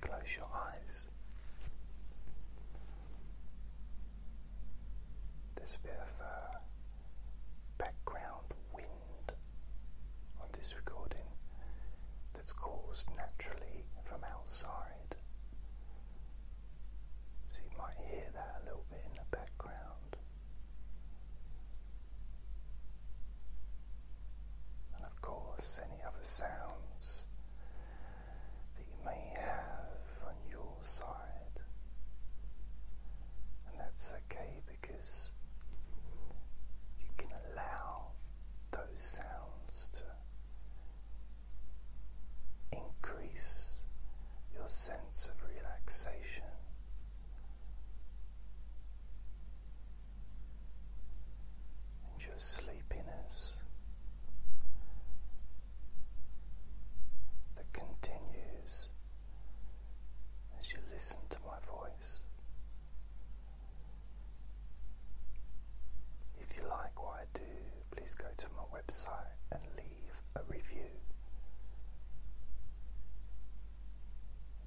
close your eyes. There's a bit of uh, background wind on this recording that's caused naturally from outside. So you might hear that a little bit in the background. And of course, any other sounds that you may have on your side, and that's okay because you can allow those sounds to increase your sense of relaxation and your sleepiness that continues as you listen to my voice. If you like what I do, please go to my website and leave a review.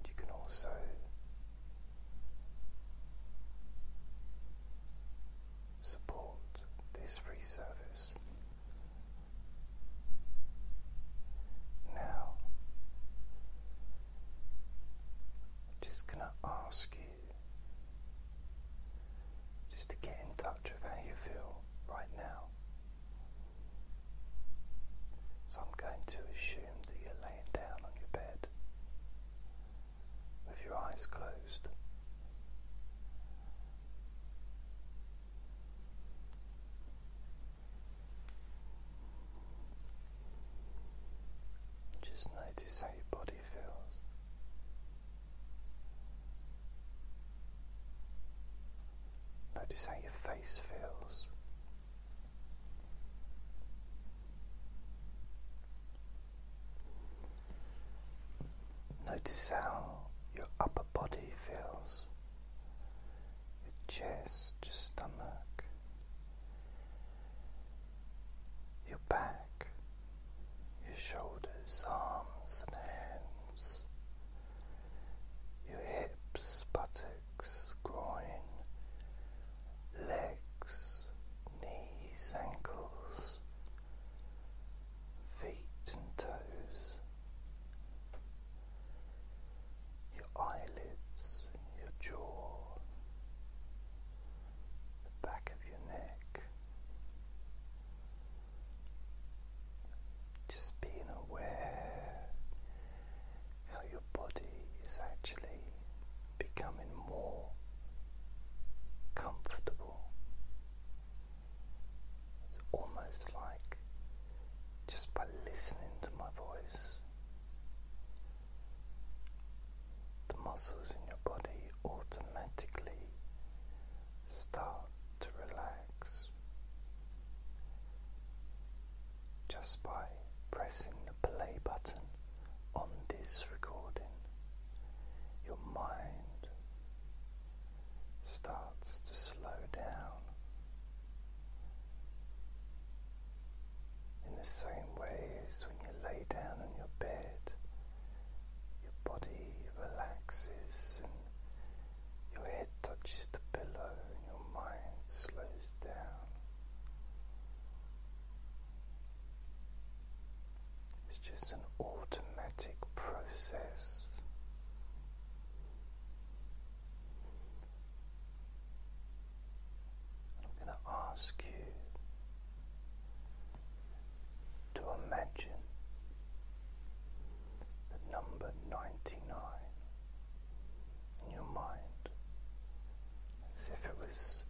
you can also support this free service. Now, I'm just going to ask you just to get in touch with how you feel right now. So, I'm going to assume that you're laying down on your bed with your eyes closed. Just notice how your body feels. Notice how your face feels. Notice how your upper body feels, your chest, your stomach, your back, your shoulders, arms, and hands, your hips, buttocks, groin, legs, knees, ankles, feet, and toes, your eyelids, your jaw, the back of your neck. Just being aware how your body is actually becoming more comfortable. It's almost like just by listening to my voice, the muscles in your body automatically start to relax just by pressing the play button on this recording, your mind starts to slow down in the same way as when you lay down in your bed. Your body relaxes and your head touches the pillow and your mind slows down. It's just an automatic process. I'm going to ask you to imagine the number 99 in your mind as if it was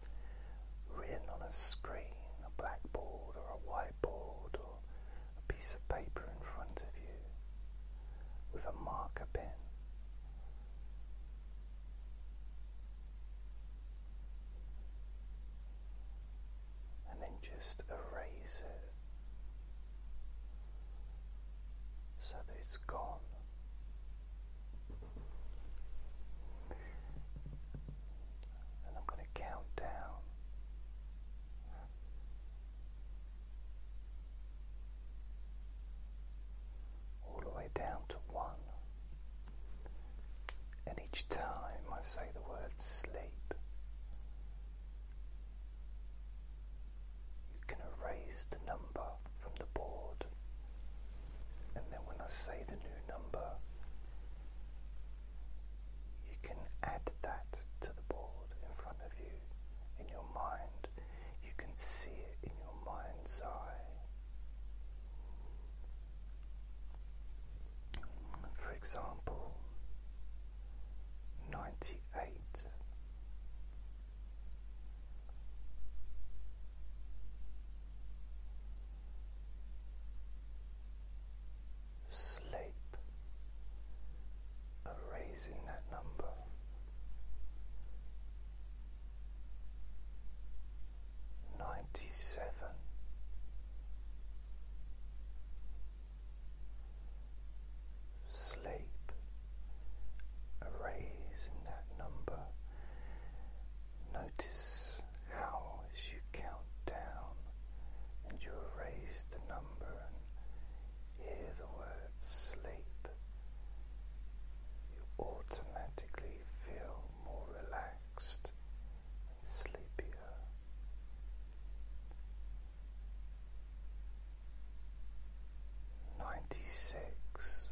written on a screen, a blackboard, or a whiteboard, or a piece of paper in front of you with a marker pen. And then just erase it so that it's gone. And I'm going to count down. All the way down to one. And each time I say the word sleep, you can erase the number from the board. And then when I say the new number, you can add that to the board in front of you in your mind. You can see it in your mind's eye. For example, 98 sleep, erasing that number. Ninety seven, sleep, erasing that number. Notice how, as you count down and you erase the number and hear the word sleep, you automatically feel more relaxed and sleepier. Ninety six,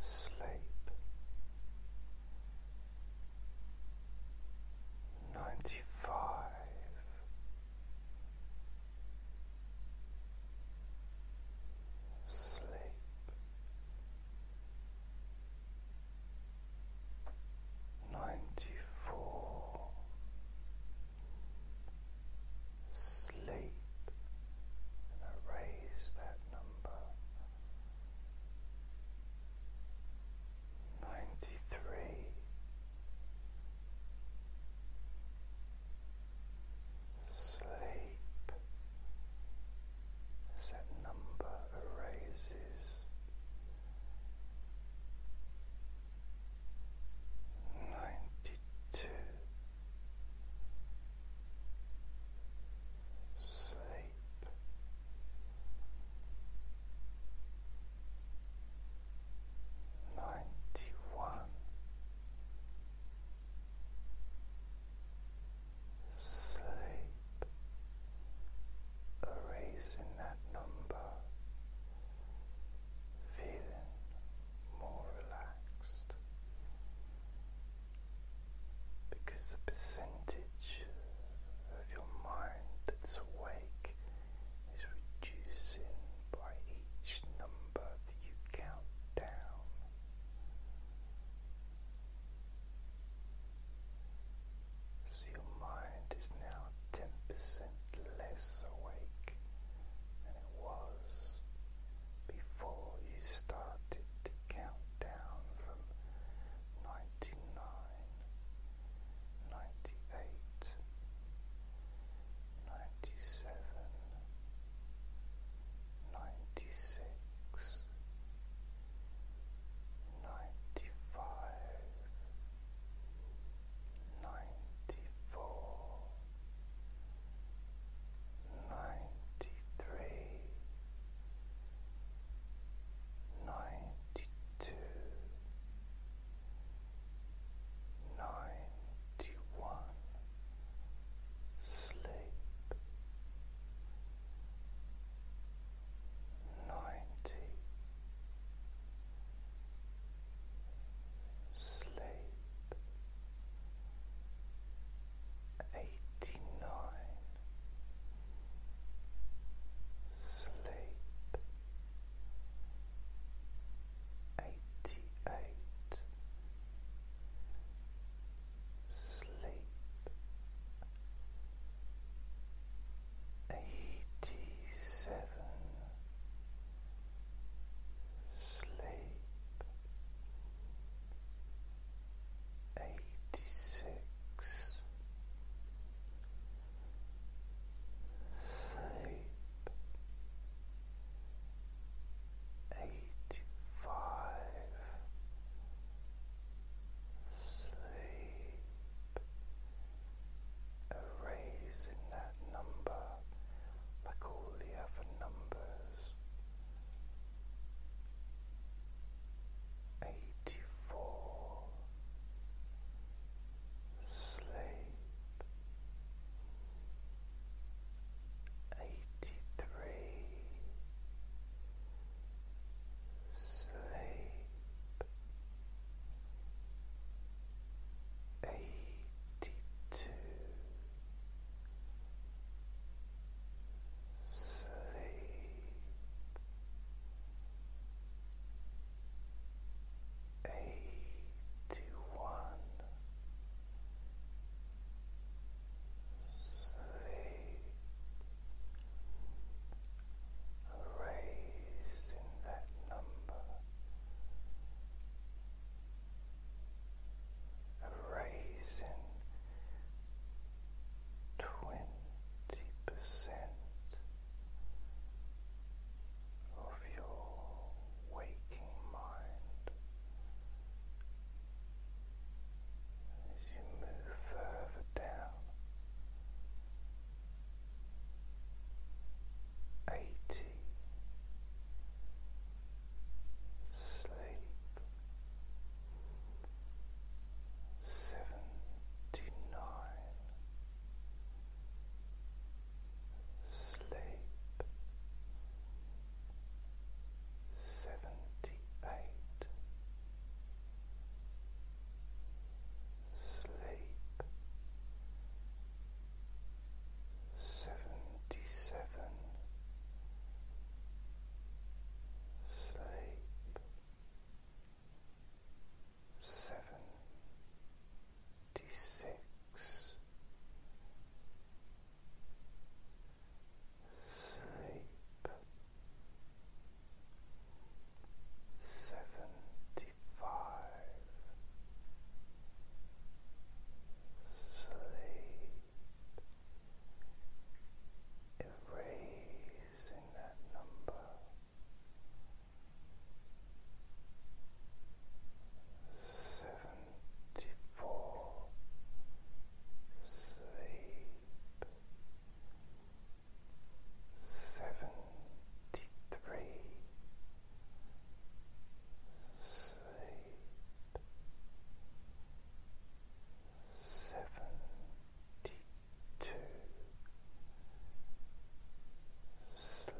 sleep ninety five. Sleep ninety four, sleep and that number ninety three sleep that number arises ninety two sleep ninety one sleep erasing that number feeling more relaxed because the percentage of your mind that's awake is reducing by each number that you count down. So your mind is now ten percent less awake than it was before you started to count down from ninety nine, ninety eight, ninety seven, ninety six, ninety five ninety four, ninety three, ninety two, ninety one, sleep ninety sleep eighty nine, sleep eighty eight, sleep eighty seven sleep eighty six sleep eighty five sleep erasing that number like all the other numbers. 84 Sleep 83 Sleep Eighty-two sleep eighty-one sleep erasing that number, erasing twenty percent of your waking mind. As you move further down eighty sleep seventy nine sleep seventy eight sleep seventy seven sleep seventy six Sleep seventy five sleep erasing that number seventy four sleep seventy three sleep seventy two sleep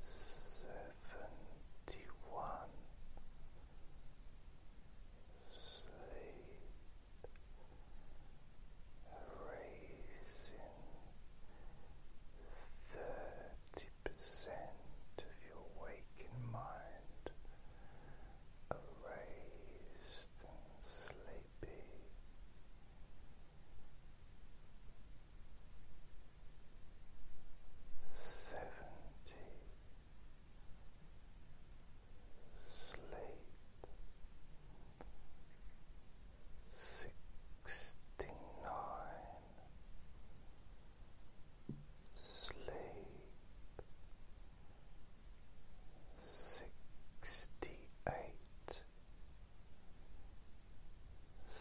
Seventy one, sleep raising thirty percent of your waking mind erased and sleepy. Seventy sleep sixty nine sleep sixty eight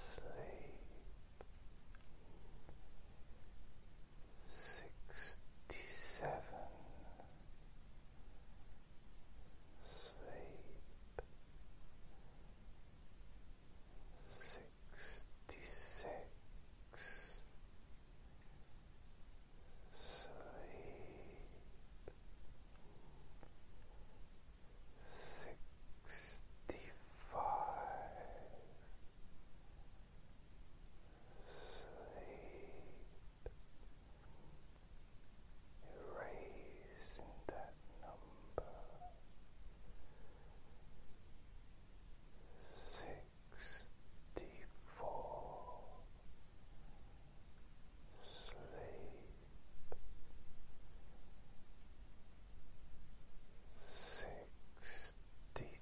sleep sixty seven sleep sixty six sleep Sixty five, sleep, erasing that number sixty four sleep sixty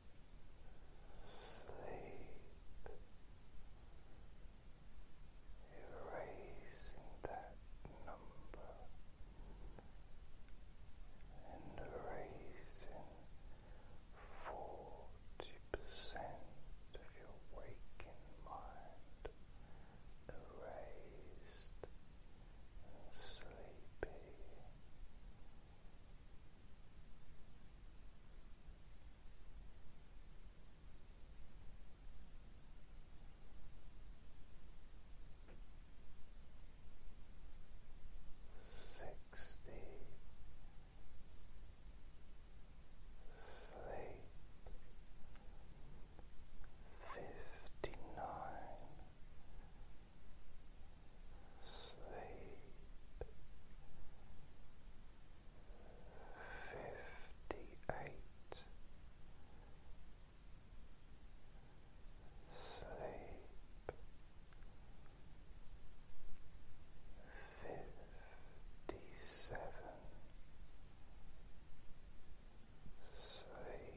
sleep, erasing that number erasing forty percent of your waking mind erased and Sixty sleep sleep fifty eight sleep fifty seven sleep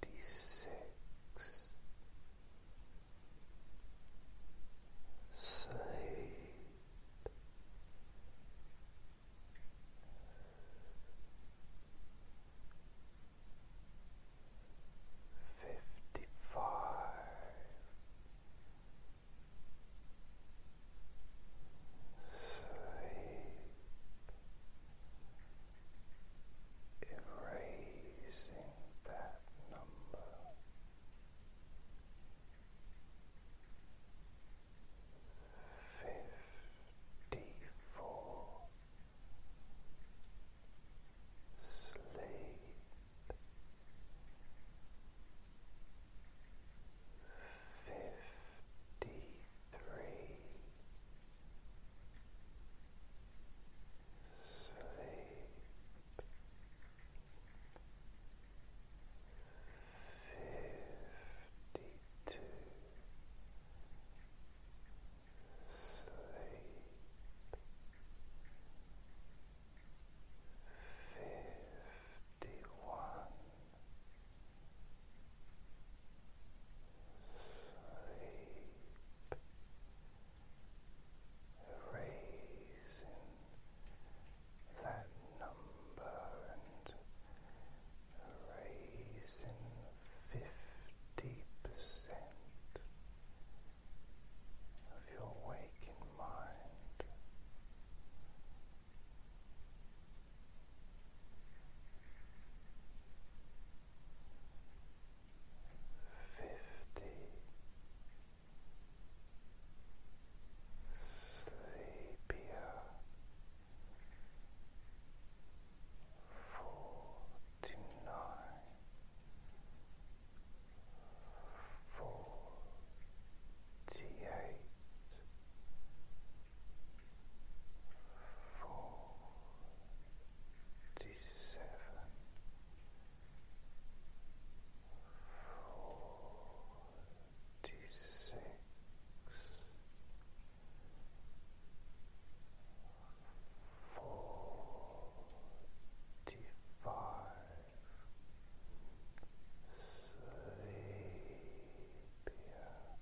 fifty six relax, sleep. Fifty five, sleep, erasing that number. Fifty four sleep fifty three. Sleep. Fifty-two. Sleep. Fifty-one sleep, erasing that number and erasing fifty percent of your waking mind. Fifty sleepier forty nine forty eight forty-seven, forty-six, forty-five, sleepier.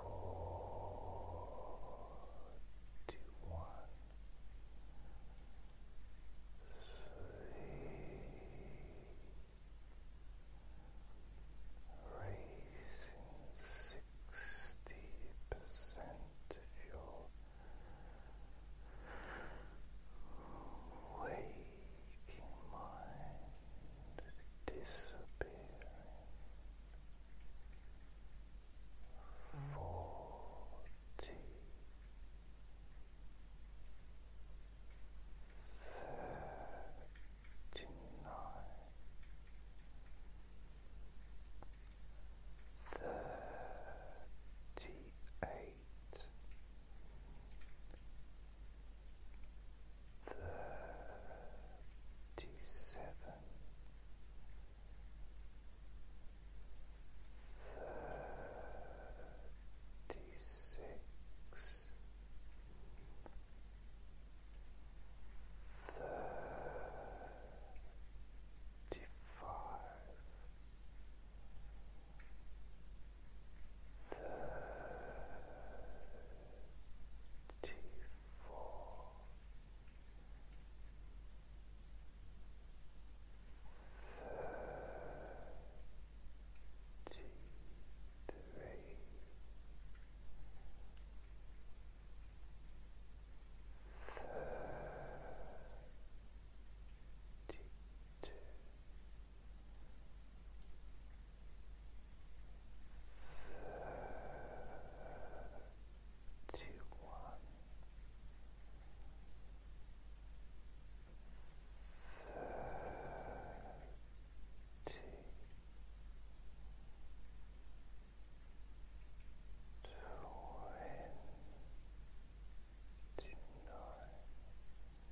Forty-one. Sleep. Raising sixty percent of waking mind disappearing, forty, thirty-nine, thirty-eight. Thirty-seven, thirty-six, thirty-five thirty-four, thirty-three, thirty-two two, thirty-one, thirty, twenty-nine twenty-seven twenty-six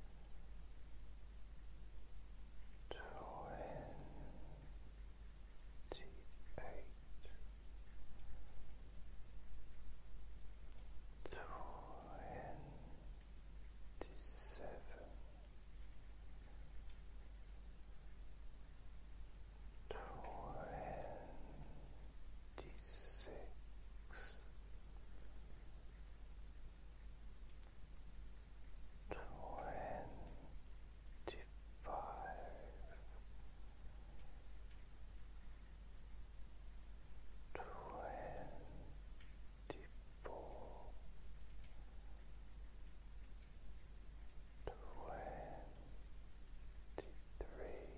twenty five twenty four twenty three Twenty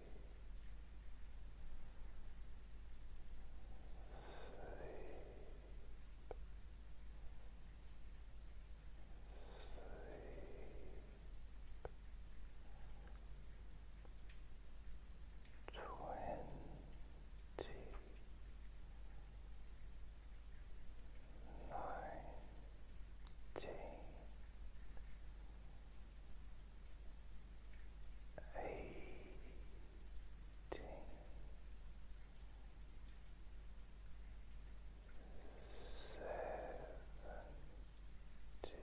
twenty nineteen eighteen. Seventeen, sixteen,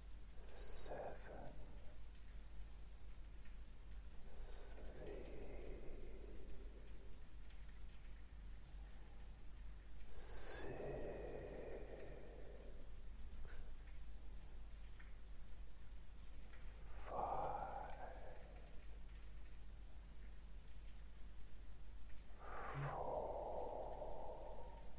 seven, three, six, five, four.